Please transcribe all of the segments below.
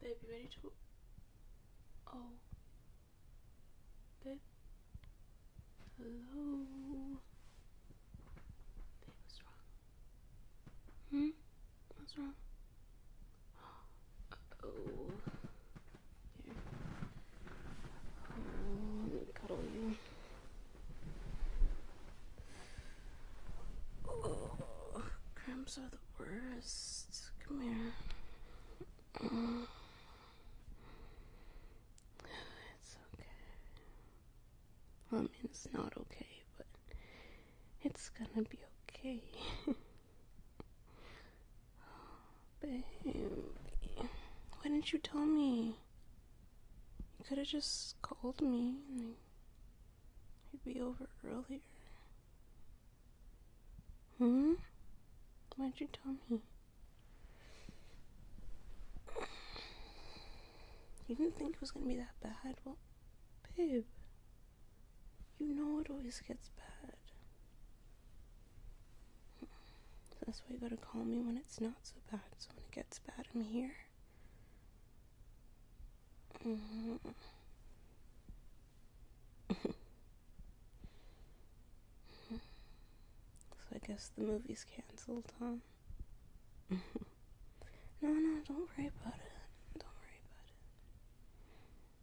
Baby, ready to? Oh. Hello. what's wrong? Hmm. What's wrong? oh. Here. Oh, let me cuddle you. Oh, cramps are the worst. Come here. It's okay. I mean, it's not okay, but it's gonna be okay. Baby, why didn't you tell me? You could have just called me I'd be over earlier. Hmm? Why'd you tell me? You didn't think it was gonna be that bad? Well, babe, you know it always gets bad. that's why you gotta call me when it's not so bad, so when it gets bad, I'm here. Mm-hmm. so I guess the movie's canceled, huh? Mm-hmm. no, no, don't worry about it. Don't worry about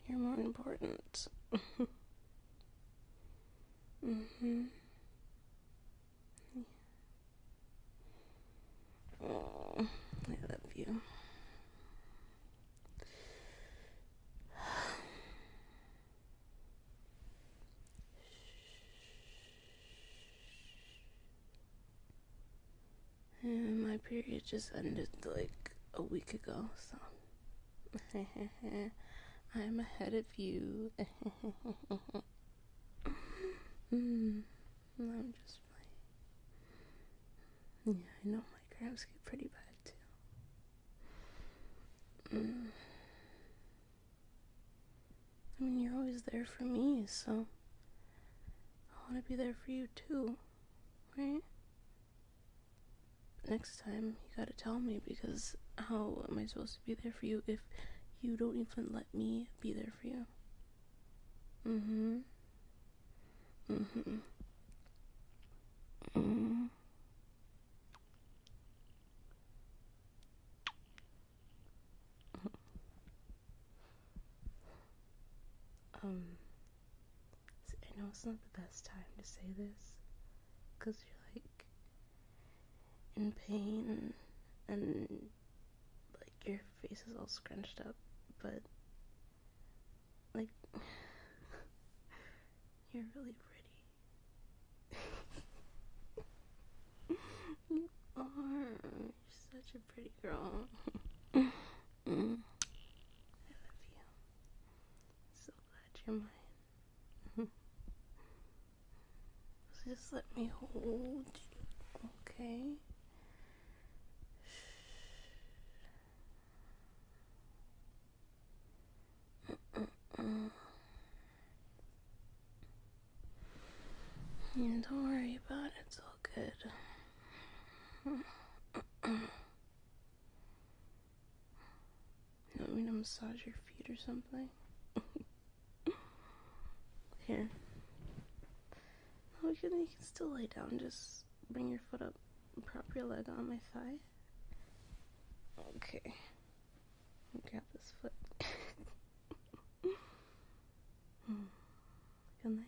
it. You're more important. mm-hmm. Yeah. Oh, I love you. And my period just ended like a week ago, so I'm ahead of you. Mm, I'm just yeah, I know my crabs get pretty bad too. Mm. I mean, you're always there for me, so I want to be there for you too, right? next time, you gotta tell me because how am I supposed to be there for you if you don't even let me be there for you? Mm-hmm. Mm-hmm. Mm. Um, I know it's not the best time to say this, because you're like in pain and like your face is all scrunched up, but like you're really pretty. you are. You're such a pretty girl. Mm. I love you. So glad you're mine. Just let me hold you, okay? don't worry about it, it's all good. you want me to massage your feet or something? Here. No, oh, you can, you can still lay down. Just bring your foot up. Prop your leg on my thigh. Okay. Grab this foot. Feel nice.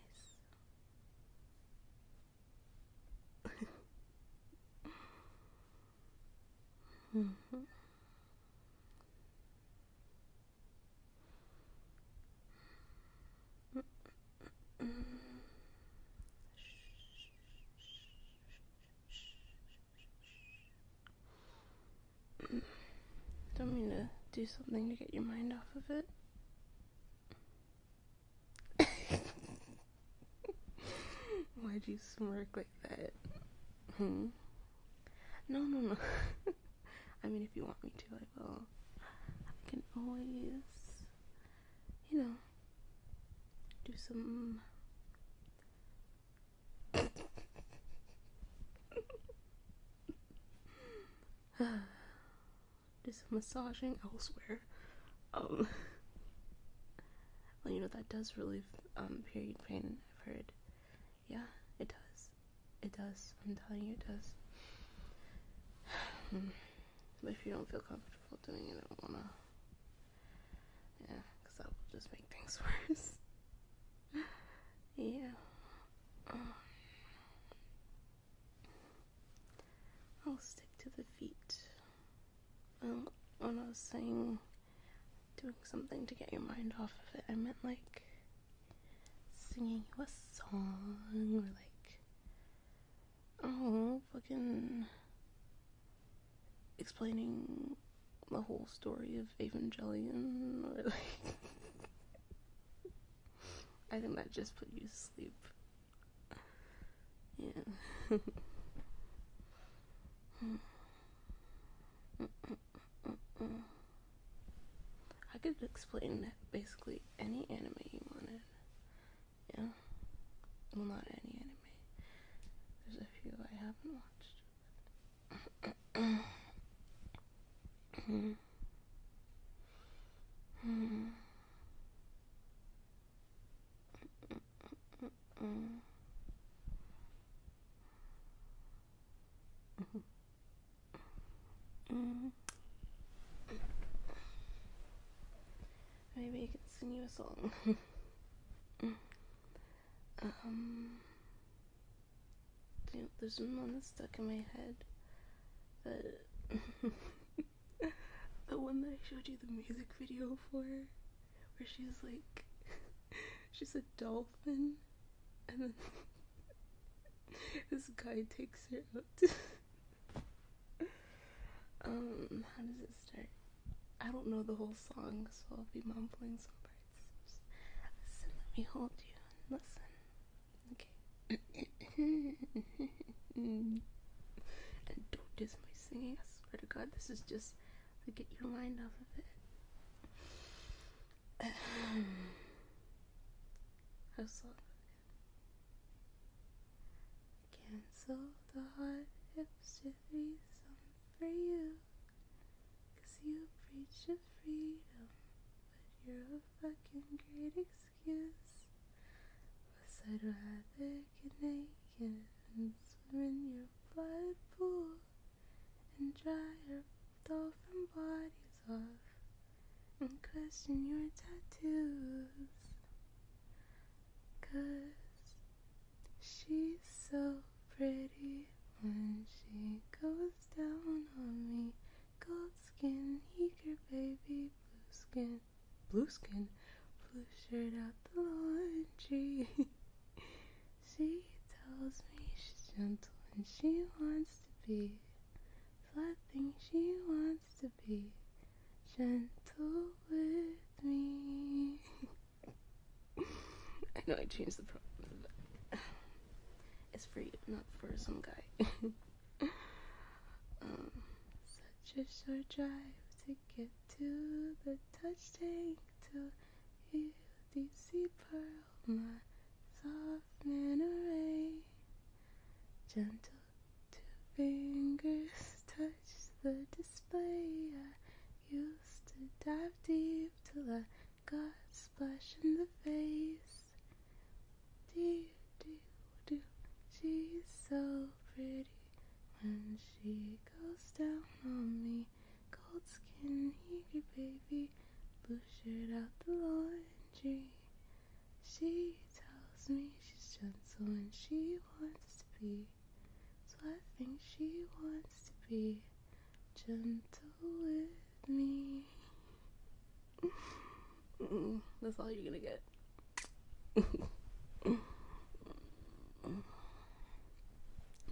Mm-hmm. Don't mean to do something to get your mind off of it. Why'd you smirk like that? Hmm? No, no, no. I mean, if you want me to, I will. I can always, you know, do some. do some massaging elsewhere. Um, well, you know, that does relieve um, period pain, I've heard. Yeah, it does. It does. I'm telling you, it does. Hmm. but if you don't feel comfortable doing it, I don't wanna. Yeah, because that will just make things worse. yeah. Um. I'll stick to the feet. Um, when I was saying doing something to get your mind off of it. I meant like singing you a song or like oh fucking explaining the whole story of Evangelion or like I think that just put you to sleep. Yeah. Hmm. I could explain basically any anime you wanted. Yeah. Well, not any anime. There's a few I haven't watched. Mm-hmm. Mm-hmm. Mm-hmm. Mm-hmm. Maybe I can sing you a song. um, there's one that's stuck in my head. That the one that I showed you the music video for where she's like she's a dolphin and then this guy takes her out. um, how does it start? I don't know the whole song, so I'll be mumbling some parts. Listen, let me hold you and listen. Okay. and don't dis my singing, I swear to god, this is just to get your mind off of it. Hustle. Cancel the hot hips to be some for you. Cause you preach of freedom, but you're a fucking great excuse. Cause I'd rather get naked and swim in your blood pool and dry your dolphin bodies off and question your tattoos. Cause she's so pretty when she goes down on me. Gold skin, eager baby, blue skin, blue skin, blue shirt out the laundry. She tells me she's gentle and she wants to be. Flat thing she wants to be. Gentle with me. I know I changed the problem. It's for you, not for some guy. Um, such a short drive to get to the touch tank to you you see pearl, my soft manner ray, gentle two fingers touch the display. I used to dive deep till I got splashed in the face. Do do do, she's so pretty when she goes down on me. Cold skin, here, baby. Blue shirt out the laundry. She tells me she's gentle and she wants to be. So I think she wants to be gentle with me. That's all you're gonna get.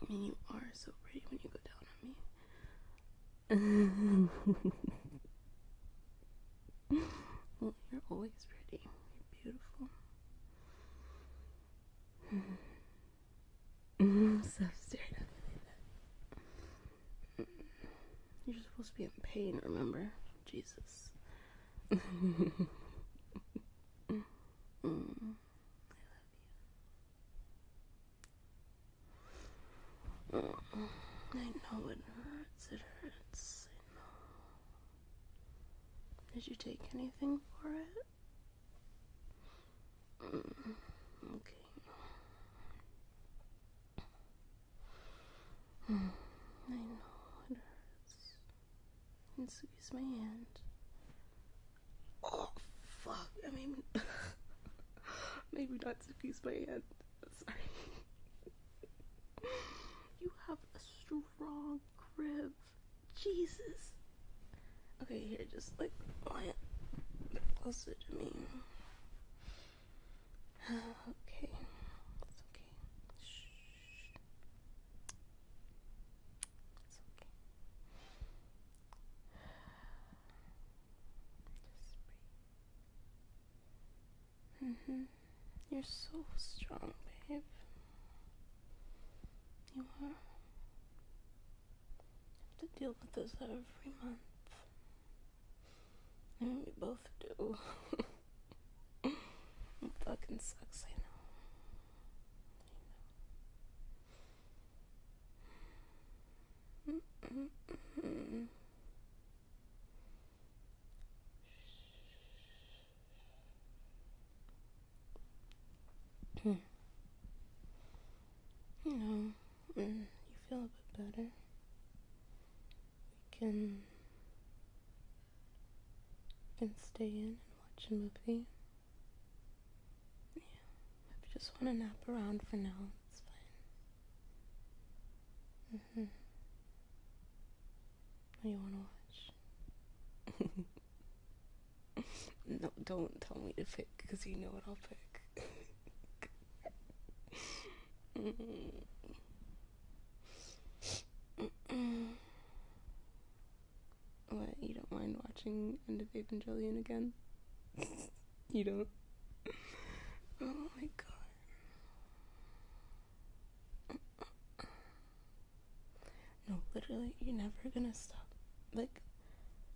I mean, you are so pretty when you go down on me. you're always pretty. You're beautiful. Stop staring You're supposed to be in pain, remember? Jesus. I love you. I know it hurts. It hurts. I know. Did you take anything for it? Mm, okay. Mm, I know it hurts and squeeze my hand. Oh fuck! I mean, maybe not squeeze my hand. Sorry. you have a strong grip. Jesus. Okay, here, just like lie it closer to me. okay. It's okay. Shh hmm You're so strong, babe. You are. have to deal with this every month. I we both do. it fucking sucks, I know. Mm -mm -mm hmm. You know, mm, you feel a bit better. We can and stay in and watch a movie. Yeah, I just want to nap around for now, it's fine. Mm-hmm. What do you want to watch? no, don't tell me to pick, because you know what I'll pick. mm what, you don't mind watching End of Evangelion again? you don't? Oh my god. No, literally, you're never gonna stop. Like,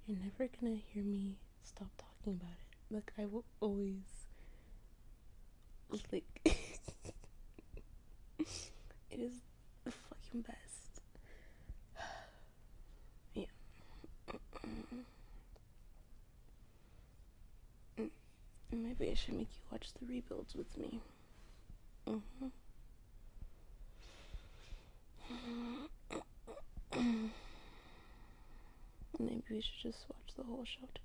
you're never gonna hear me stop talking about it. Like, I will always. Like, it is the fucking best. yeah. Maybe I should make you watch the rebuilds with me. Mm-hmm. Maybe we should just watch the whole show together.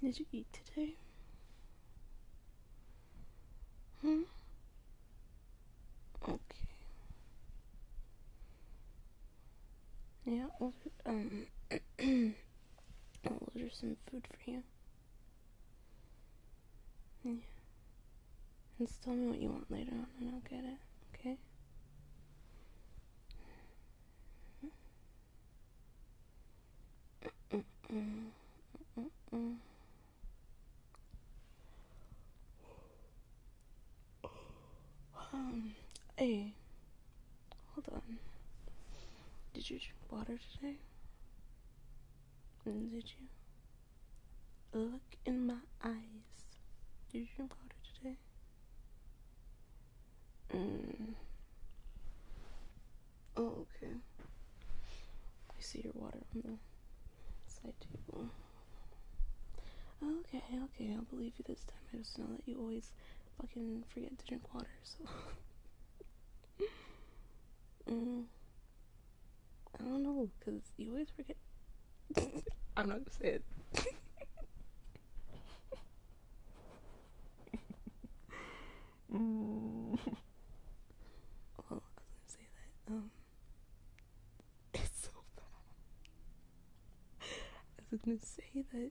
Did you eat today? Hmm? Okay. Yeah, I'll, um, I'll order some food for you. Yeah. And just tell me what you want later on and I'll get it, okay? Um, hey, hold on. Did you drink water today? Mm, did you? Look in my eyes. Did you drink water today? Mm. Oh, okay. I see your water on the side table. Okay, okay, I'll believe you this time. I just know that you always fucking forget to drink water, so. mm. I don't know, because you always forget I'm not gonna say it. mm. I was gonna say that. Um, it's so bad. I was gonna say that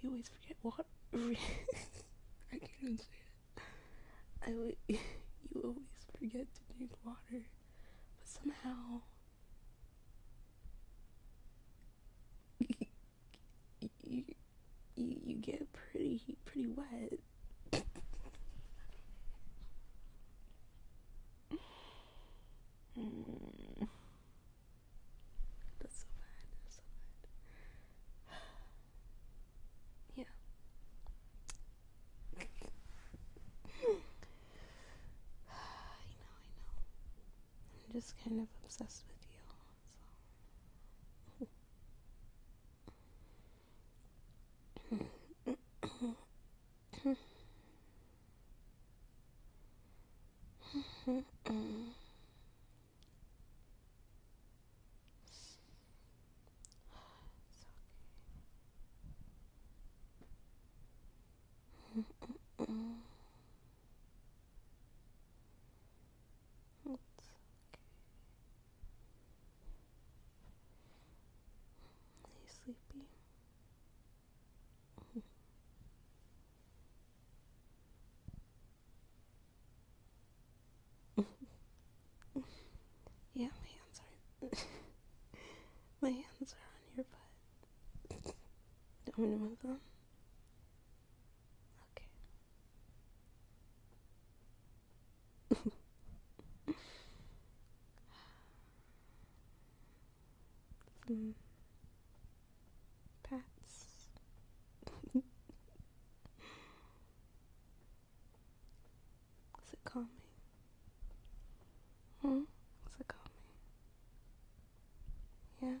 you always forget what. I can't even say it. I w- you always forget to drink water. But somehow you, you, you get pretty pretty wet. That's so bad. That's so bad. yeah. I know, I know. I'm just kind of obsessed with you. It's okay. it's okay. Are you sleepy? Yeah, my hands are. my hands are on your butt. Don't want to move them. Okay. pats. Is it calming? Hmm? Is it calming? Yeah? Okay.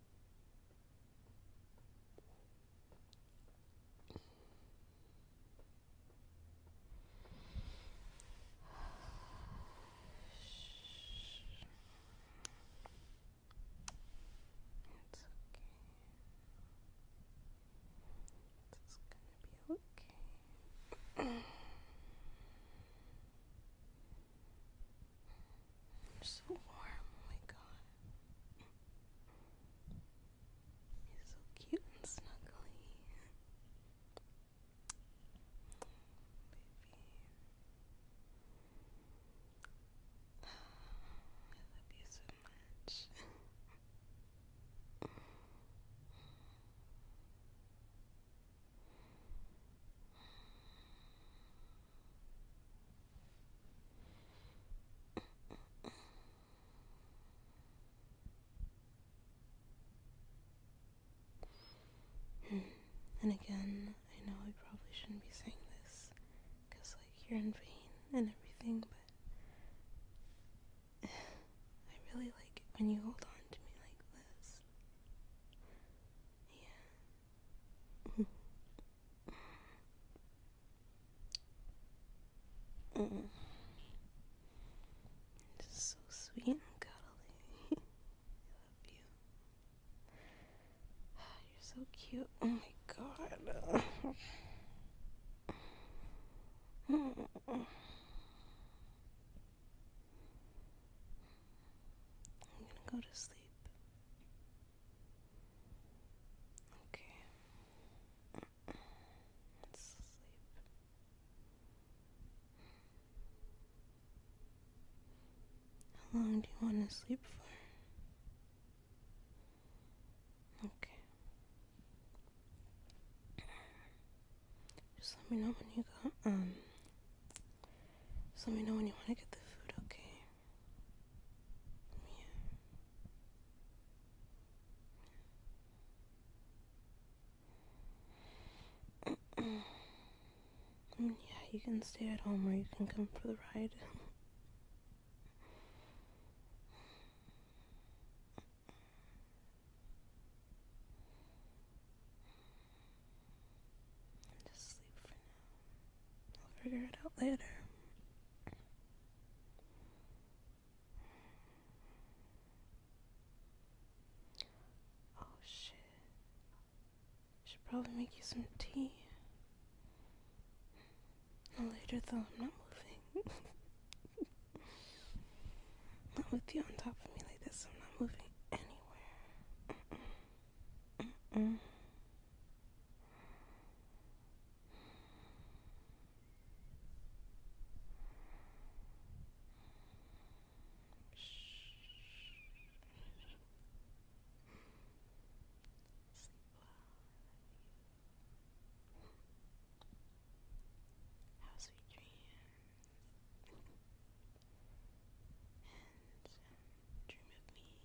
It's okay. It's gonna be okay. You're so warm, oh my god. You're so cute and snuggly. Baby. I love you so much. Hmm. And again, I know I probably shouldn't be saying this because, like, you're in pain and everything, but I really like when you hold on to me like this. Yeah. Mm. So sweet and cuddly. I love you. You're so cute. Oh my god. Hmm. I'm gonna go to sleep. Okay. Let's sleep. How long do you want to sleep for? Okay. Just let me know when you Um, just let me know when you want to get the food, okay? Yeah. Mm, yeah, you can stay at home or you can come for the ride. Just sleep for now. I'll figure it out later. Oh shit. Should probably make you some tea. later though, I'm not moving. not with you on top of me like this, I'm not moving anywhere anywhere. Sleep well. Have sweet dreams and um, dream of me. I'm just kidding, but not really.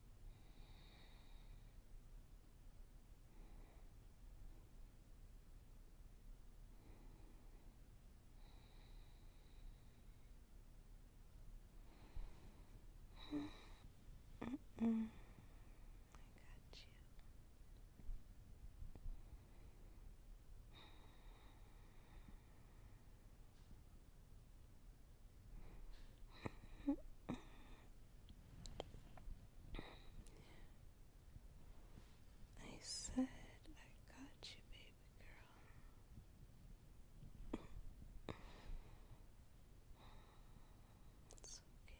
Mm. I got you. I said I got you, baby girl. It's okay.